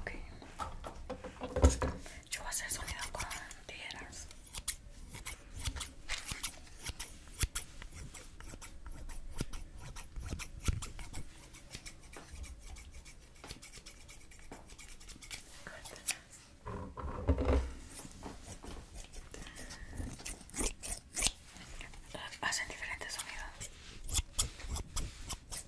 Okay. Yo voy a hacer sonido con tijeras. Hacen diferentes sonidos.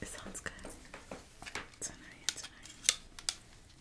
It sounds good. It's annoying, it's annoying.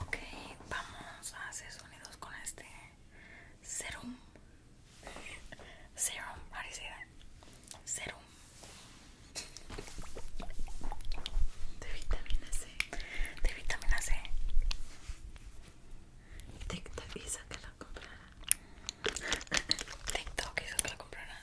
Okay, vamos a hacer sonidos con este serum. Serum, how do Serum de vitamina C. De vitamina C. TikTok hizo que la comprara. TikTok hizo que la comprara.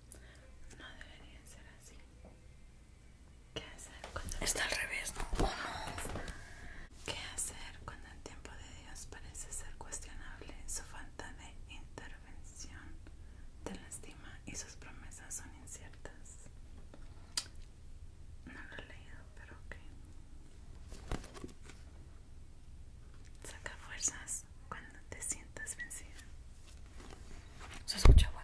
No debería ser así. ¿Qué hacer cuando está al revés? Oh, ¿Qué hacer cuando el tiempo de Dios parece ser cuestionable? Su falta de intervención te lastima y sus promesas son inciertas. No lo he leído, pero ¿qué? Saca fuerzas cuando te sientas vencida. Se escucha bueno.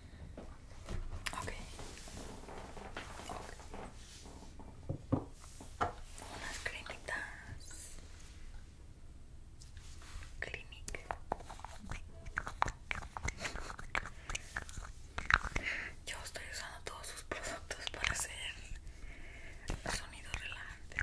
Okay. ok. Unas cremitas. Clinic. Yo estoy usando todos sus productos para hacer sonidos relajantes.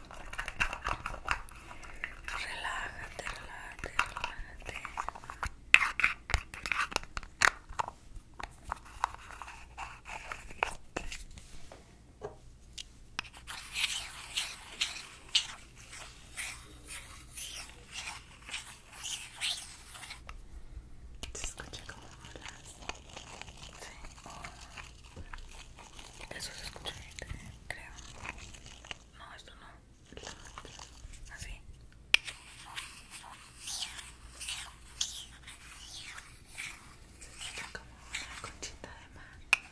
Relájate, relájate, relájate. ¿Te escucha como hablas. Sí. Eso se escucha bien, creo. No, esto no. Así. una conchita de mar.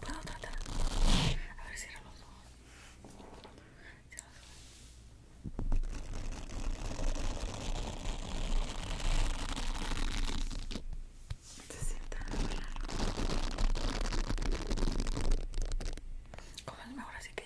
Puedo tratar. A ver, cierra los ojos. Cierra los ojos. Se sienta a hablar. Como ahora sí que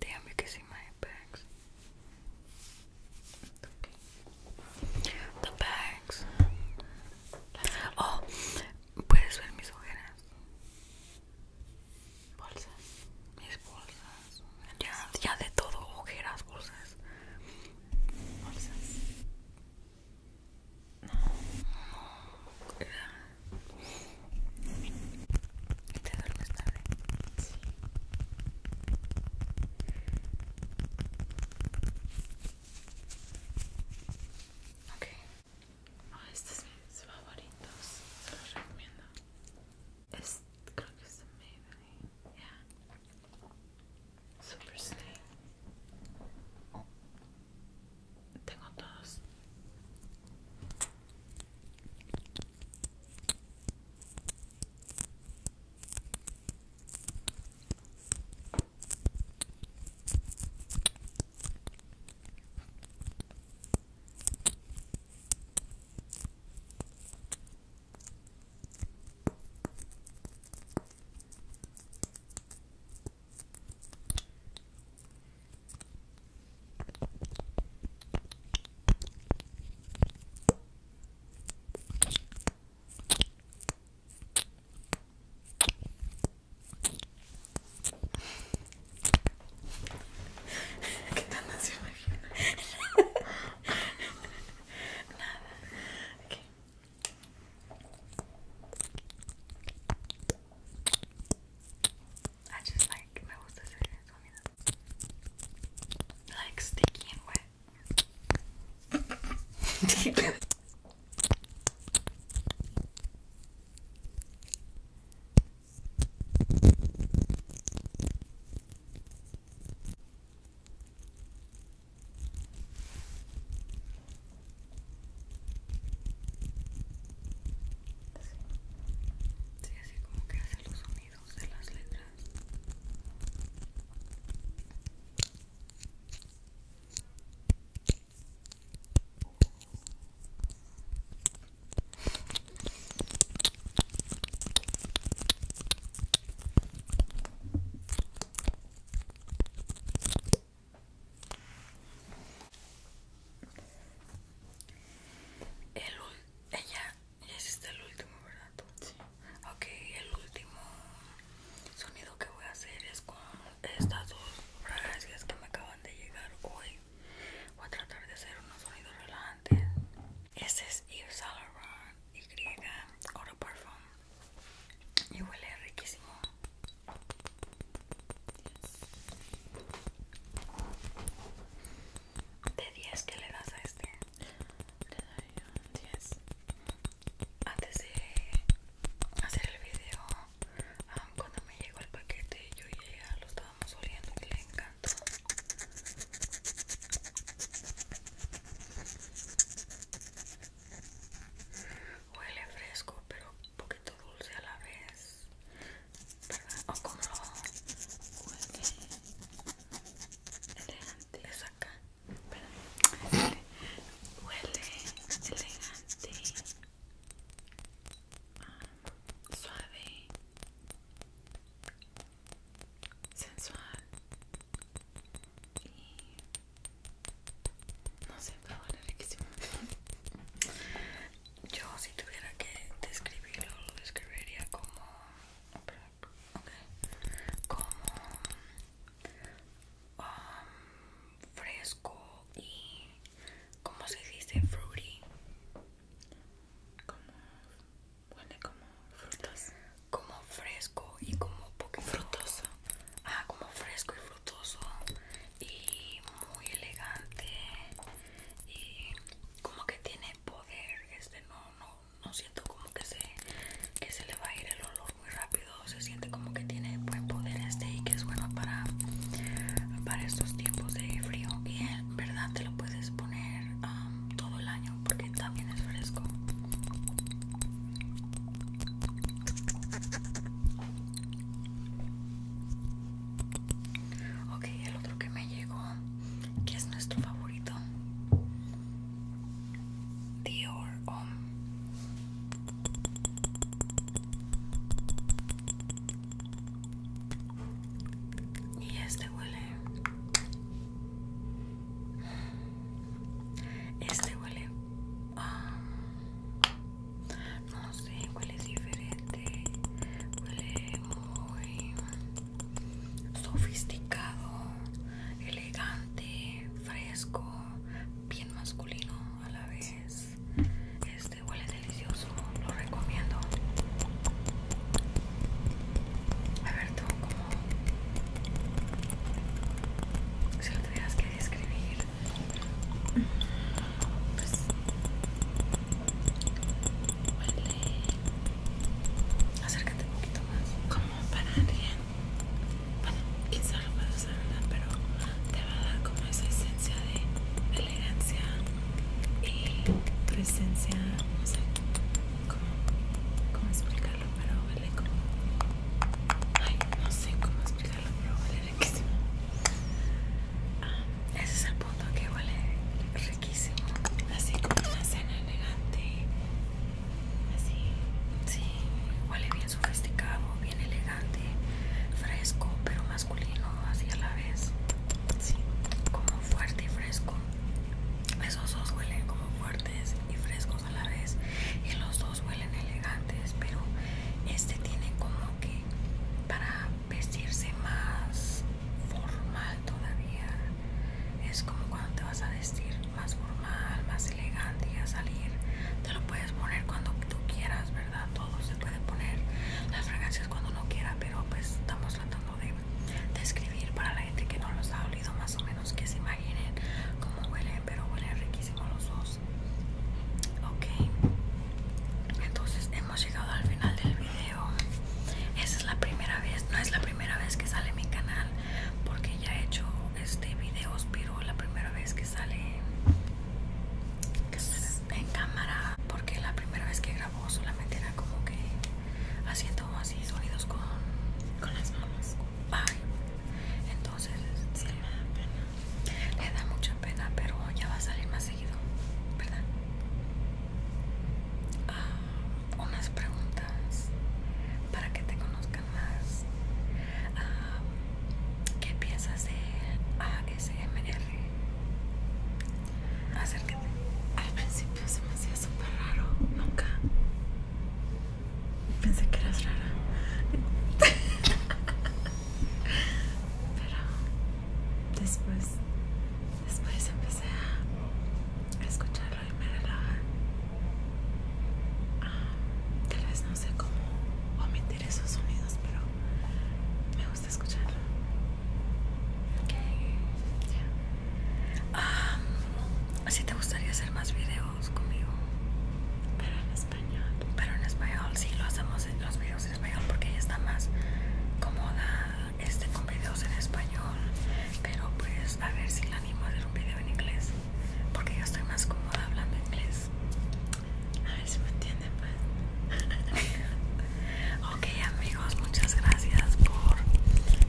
Damn, que sí my bags. The bags. Oh, puedes ver mis ojeras. Bolsas. Mis bolsas. Ya, ya de todo, ojeras, bolsas. Bolsas. No. No. ¿Te duermes Ok. Oh, este es favoritos. Se los recomiendo. Super sleep. Tengo todos. ¿Qué tal no se imagina? Nada. Okay. I just like, me gusta hacer sonido. Like sticky and wet. Sí, así como que hace los sonidos de las letras. El ella este último, el último sonido que voy a hacer es con estas dos fragancias que me acaban de llegar hoy. Voy a tratar de hacer unos sonidos relajantes. Este es Yves Saint Laurent Y Eau Parfum y huele riquísimo. De 10, que le das a este? Le doy un 10. Antes de hacer el video, cuando me llegó el paquete, yo y ella lo estábamos oliendo que le encantó. Huele fresco, pero un poquito dulce a la vez, ¿verdad? O como huele elegante, es acá, Huele elegante, suave, sensual y no sé, pero huele riquísimo. Yo si tuviera que describirlo, lo describiría como... como... Um, fresco y... como se dice? Fruity. Como... como frutas. Como fresco y como poco... Frutoso. Ah, como fresco y frutoso y muy elegante y como que tiene poder este no no no siento como que se se le va a ir el olor muy rápido se siente como que tiene buen poder este y que es bueno para para estos tiempos de frío y en verdad te lo puedes poner um, todo el año porque también es fresco Okay, el otro que me llegó, que es nuestro favorito, Dior Y este huele. Este huele. No sé, huele diferente. Huele muy sofisticado, elegante, fresco, bien masculino a la vez. Este huele delicioso, lo recomiendo. A ver tú, como Si lo tuvieras que describir pues, Acércate un poquito más. Como para alguien. Bueno, quizá lo puedo usar, Pero te va a dar como esa esencia de elegancia y presencia, no sé cómo, cómo explicarlo, pero huele como. Ay, no sé cómo explicarlo, pero huele Ah, ese es el punto que huele riquísimo. Así como una cena elegante. Así, sí, huele bien sofisticado, bien elegante, fresco, pero masculino, así a la vez. Sí, como fuerte y fresco. Esos dos huelen como fuertes y frescos a la vez. Y los dos huelen elegantes, pero este tiene como que para vestirse más formal todavía. Es como cuando te vas a vestir más formal, más elegante y a salir. Te lo puedes poner cuando tú quieras, ¿verdad? Todo se puede poner las fragancias cuando uno quiera, pero pues estamos tratando de describir para la gente que no los ha olido más o menos que se imaginen cómo huelen, pero huelen riquísimo los ojos ok entonces hemos llegado al final del video esa es la primera vez no es la primera vez que sale mi canal porque ya he hecho este videos pero la primera vez que sale en cámara porque la primera vez que grabó solamente era como que haciendo así sonidos con, con las manos Bye entonces sí. le da pena le da mucha pena pero ya va a salir más seguido verdad ah, unas preguntas para que te conozcan más ah, qué piensas de ASMR acércate al principio se me hacía súper raro nunca Pensé que eras rara. Pero después, después empecé a escucharlo y me relaja. Ah, tal vez no sé cómo omitir esos sonidos, pero me gusta escucharlo. ok ah, si te gustaría hacer más videos conmigo. Pero en español sí lo hacemos en los videos en español porque ella está más cómoda este con videos en español. Pero pues a ver si la animo a hacer un video en inglés porque yo estoy más cómoda hablando inglés. A ver si me entienden pues. ok amigos, muchas gracias por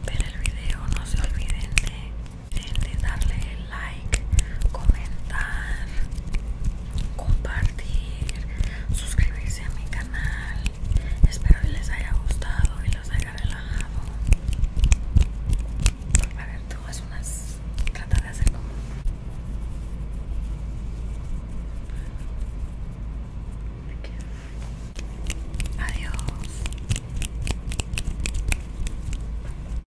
ver el video. No se olviden de de darle like, comentar, compartir, suscribirse a mi canal. Espero que les haya gustado y los haya relajado. A ver, tú haz unas. Trata de hacer como. Aquí. Adiós.